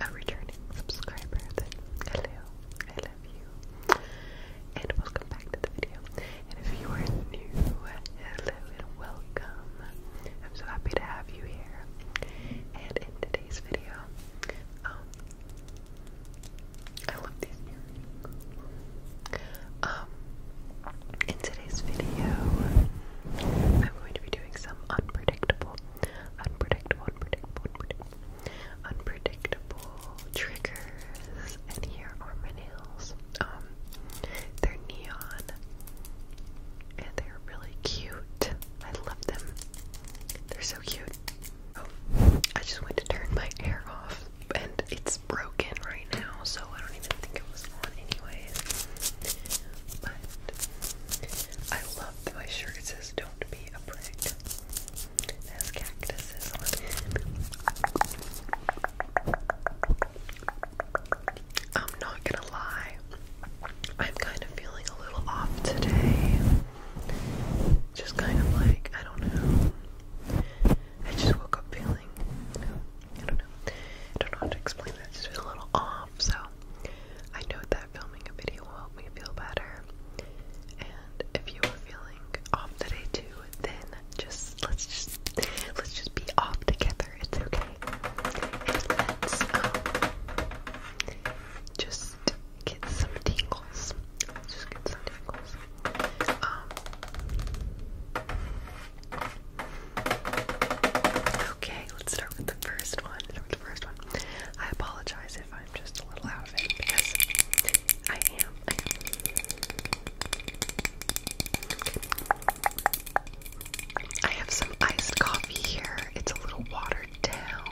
a returning subscriber, hello, I love you, and welcome back to the video. And if you are new, hello and welcome. I'm so happy to have you here. And in today's video, um, I love these earrings. Um, in today's video, I'm going to be doing some unpredictable unpredictable, unpredictable, unpredictable, triggers. And here are my nails. Um, they're neon, and they're really cute. I love them. They're so cute. Oh, I just went to turn my hair off, and it's broken right now, so I don't even think it was on anyway. I love my shirt. It says, Don't be a prick. has cactuses on it. I'm not gonna lie. I'm kind of feeling a little off today. Just kind of like, I don't know. I just woke up feeling, you I don't know. I don't know how to explain that. Just feel a little off, so I know that that filming a video will help me feel better. And if you are feeling off today too, then just let's just let's just be off together. It's okay. let's um, just get some tingles. Let's just get some tingles. Um, okay, let's start with the first one first one. I apologize if I'm just a little out of it because I am. I am. I have some iced coffee here. It's a little watered down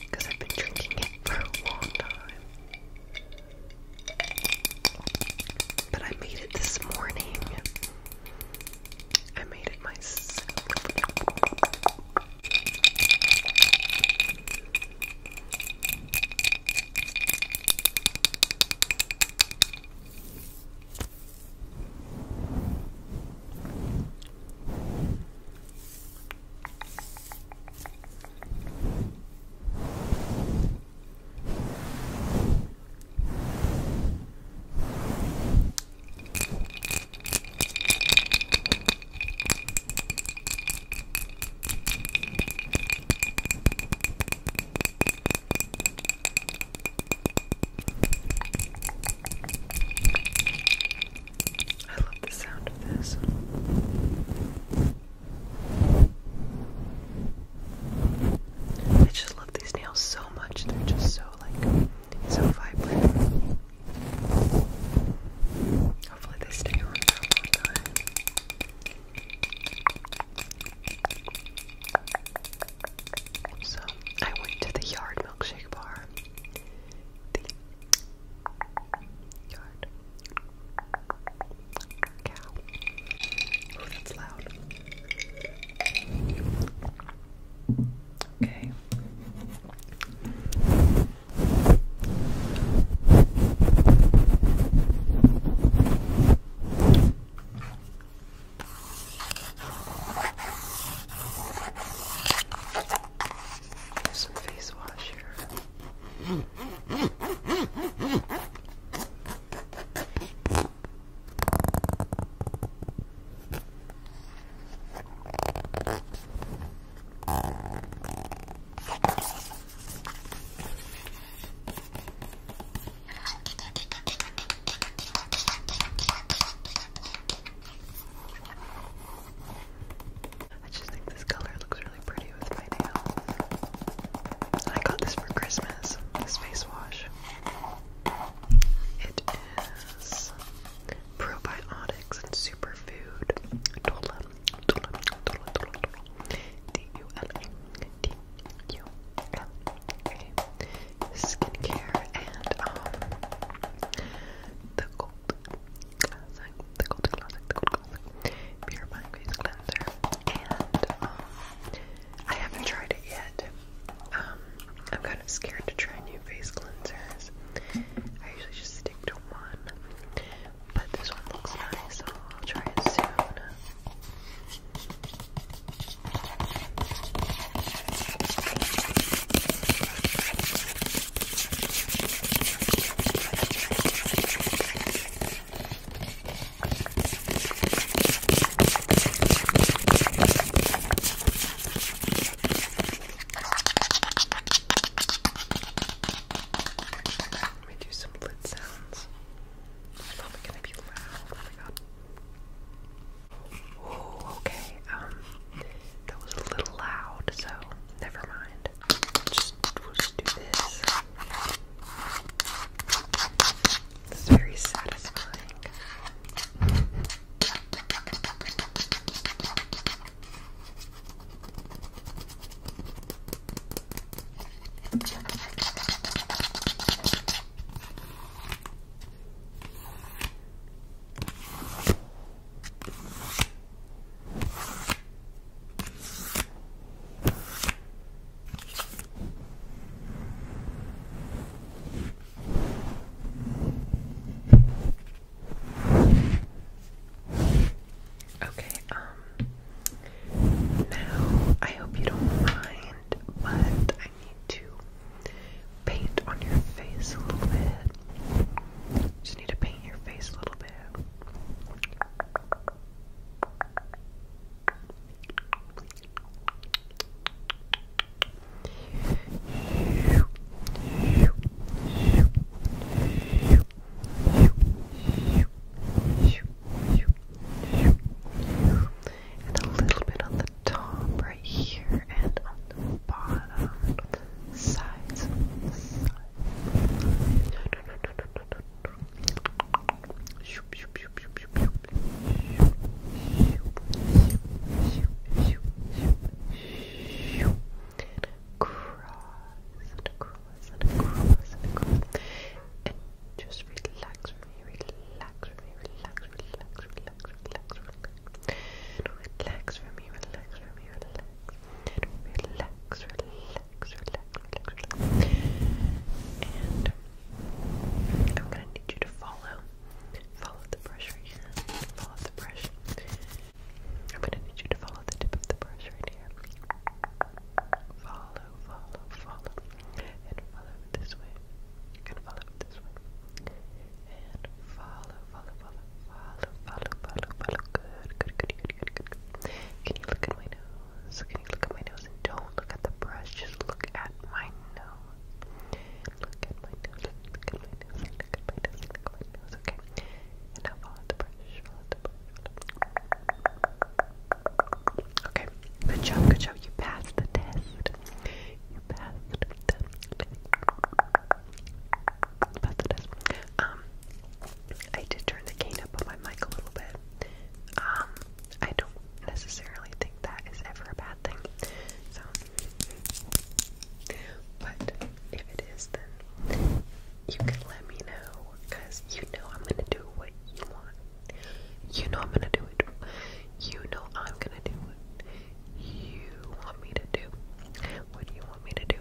because I've been drinking it for a long time. But I made it this morning I made it myself. I love the sound of this. I just love these nails so much. They're just so like so vibrant. Hopefully they stay on long time. So I went to the Yard Milkshake Bar. The Yard Cow. Oh, that's loud. Okay. some face wash here. I just think this color looks really pretty with my nails. I got this for Christmas, this face wash. It is probiotics and superfood. Dola, dola, dola, dola, dola. D U L A, D U L A. Skincare and um the gold classic, the gold classic, the gold classic, purifying face cleanser and um. I haven't tried it yet. Um, I'm kind of scared to try new face cleansers. I usually just stick to one, but this one looks nice, so I'll try it soon. Let me do some lid sounds. probably gonna be loud. Oh okay. Um, that was a little loud, so never mind. Just, we'll just do this. It's very satisfying. Okay, um, now I hope you don't mind, but I need to paint on your face a little bit. Just need to paint your face a little bit. And a little bit on the top right here and on the bottom sides. sides. Shoop, shoop, and across and across and across. And just relax for me, relax for me, relax, relax, relax, relax, relax. Relax for me, relax for me, relax. Relax, relax, relax, relax, relax. And I'm gonna need you to follow, follow the brush right here, follow the brush. I'm gonna need you to follow the tip of the brush right here. Follow, follow, follow, and follow it this way, and follow it this way, and follow, follow, follow, follow, follow, follow, follow. Good, good, good, good, good, good. Can you look at my nose? nose. Can you look at my nose don't look at the brush? Just look at my nose. Look at my nose. Look at my nose. Look at my nose. Look at my nose. Okay. And now follow the brush. Follow the brush. Okay. Good job. Good job. You passed the test. You passed the test. passed the test. Um, I did turn the cane up on my mic a little bit. Um, I don't necessarily think that is ever a bad thing. So, but if it is, then you can let me know because you know I'm gonna do what you want. You know I'm gonna do it. You know I'm gonna do what you want me to do. What do you want me to do?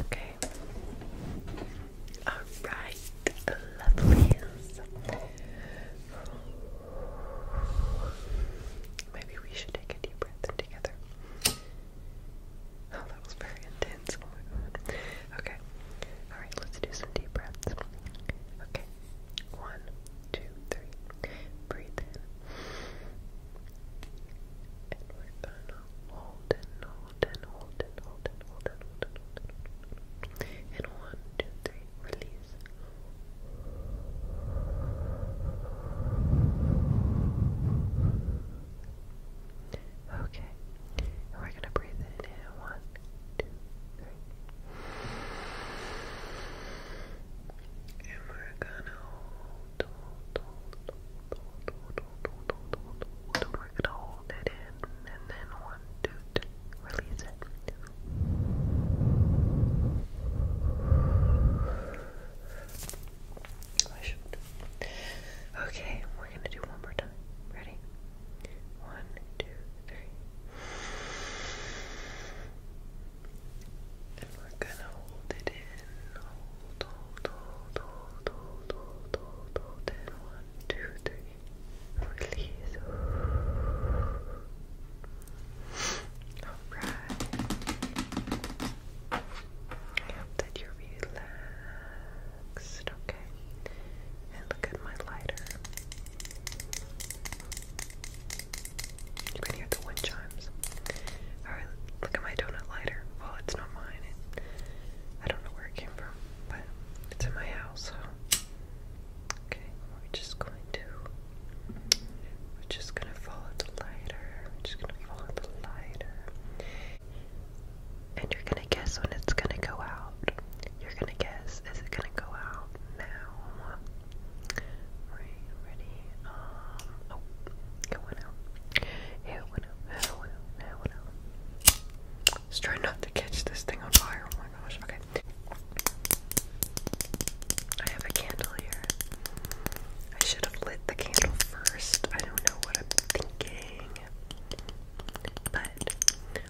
okay. Alright, lovelies. Maybe we should take a deep breath together. Oh, that was very intense. Oh okay. Alright, let's do some deep breaths. Okay. One, two, three. Breathe in. And hold Hold and hold and hold and hold and hold and hold and And one, two, three, release. Okay. we're gonna breathe in. One, two, three. And we're gonna hold. We're gonna hold it in and then one, two, three, release it. I should. Okay, we're gonna do one more time. Ready? One, two, three. And we're gonna hold it in, hold, hold, hold, hold, hold, hold, hold, hold, and one, two, three, release. Alright. I hope that you're relaxed, okay? And look at my lighter. You can hear the wind chimes. Alright, look at my donut lighter. Well, it's not mine. I don't know where it came from, but it's in my house, Okay, we're just going to. We're just gonna follow the lighter. We're just gonna follow the lighter. And you're gonna guess when it's gonna go out. You're gonna guess, is it gonna go out now? Right, ready? Um, oh, it went out. It Let's try not to catch this thing on fire. Oh my gosh, okay. I have a candle here. I should have lit the candle first. I don't know what I'm thinking. But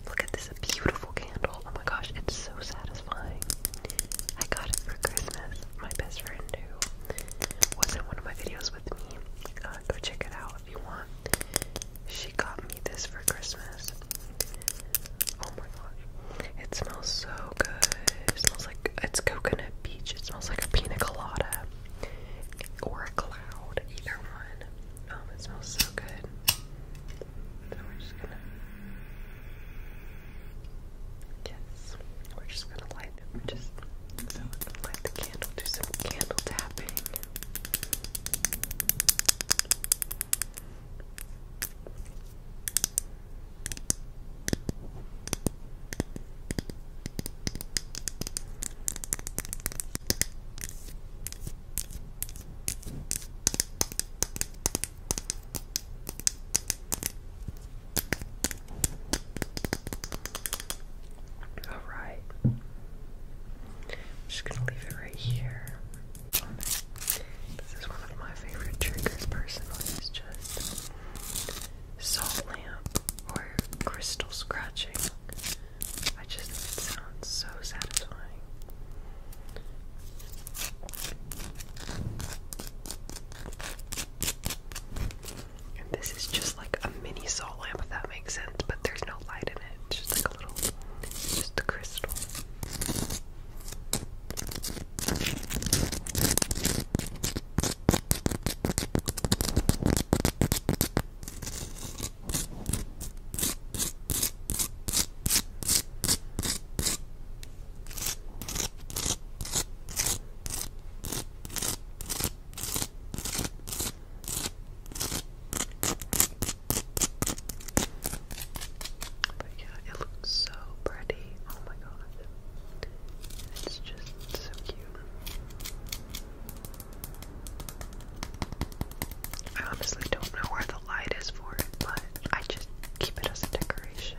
look at this beautiful candle. Oh my gosh, it's so satisfying. I got it for Christmas. My best friend who was in one of my videos uh, go check it out if you want. She got me this for Christmas. Oh my gosh. It smells so good. It smells like it's coconut peach. It smells like a pina colada or a cloud. Either one. Um, it smells so good. So we're just gonna. Yes. We're just gonna light we're just so let's light the candle, do some candle tapping. Alright. I'm just gonna leave it right here. This is one of my favorite triggers personally, is just salt lamp or crystal scratching. I just sounds so satisfying. And this is just like a mini salt lamp, if that makes sense, but there's no light in it. It's just like a little, just a crystal. But yeah, it looks so pretty. Oh my god. It's just so cute. I honestly don't know where the light is for it, but I just keep it as a decoration.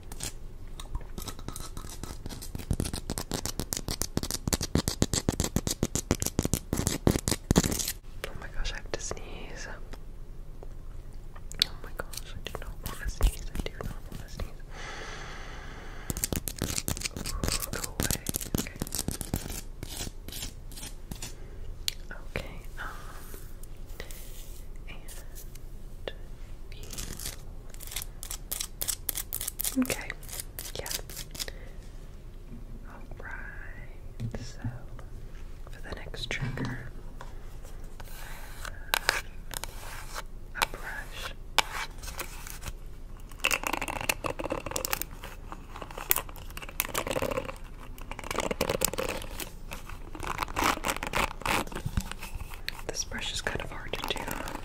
Oh my gosh, I have to sneeze. Oh my gosh, I do not want to sneeze. I do not want to sneeze. go away. Okay. um, and Okay, yeah. Alright, so for the next trigger, a brush. This brush is kind of hard to do.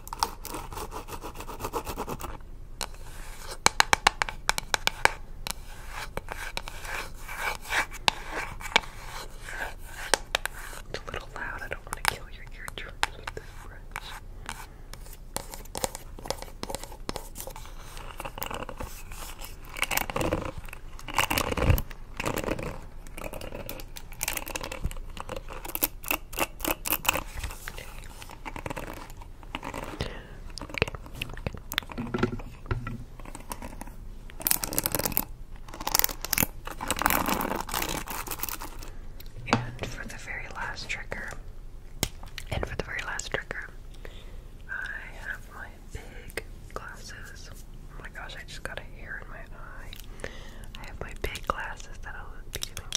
It's a little loud. I don't want to kill your eardrums with this brush. And for the very last tricker, and for the very last tricker, I have my big glasses. Oh my gosh, I just got a hair in my eye. I have my big glasses that I'll be doing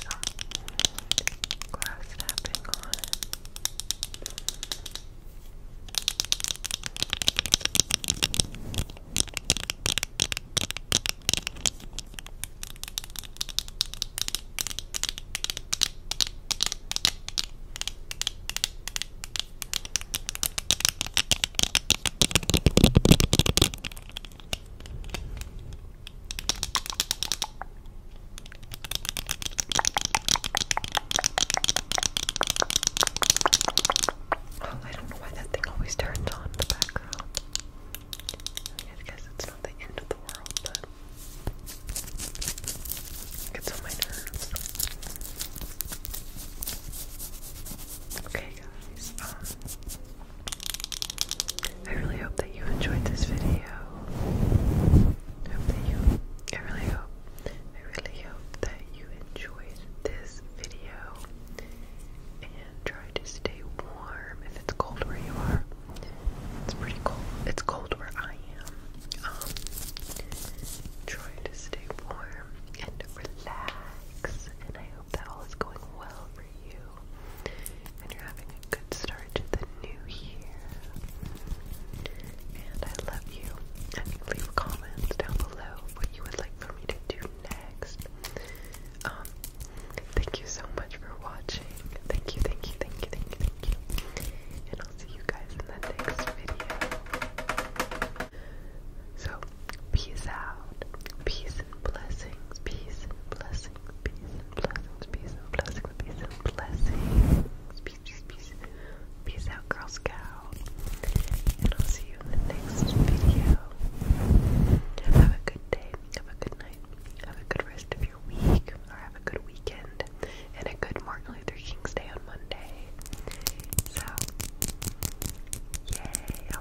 glass tapping on. Oh, I don't know why that thing always turns on in the background. I guess it's not the end of the world, but it gets on my nerves. Okay, guys. Um, I really hope that you enjoyed this video. hope that you I really hope I really hope that you enjoyed this video and try to stay warm if it's cold where you are. It's pretty cold. It's cold where I am. Um try to stay warm and relax and I hope that all is going well for you and you're having a good start to the new year. And I love you. I mean, leave comments down below what you would like for me to do next. Um, thank you so much for watching. Thank you, thank you, thank you, thank you, thank you. And I'll see you guys in the next video. So, peace out. Peace and blessings, peace and blessings, peace and blessings, peace and blessings, peace and blessings. Peace, peace, peace. Peace out, Girl Scout. And I'll see you in the next video. Have a good day, have a good night, have a good rest of your week, or have a good weekend, and a good Martin Luther King's Day on Monday. So, yay!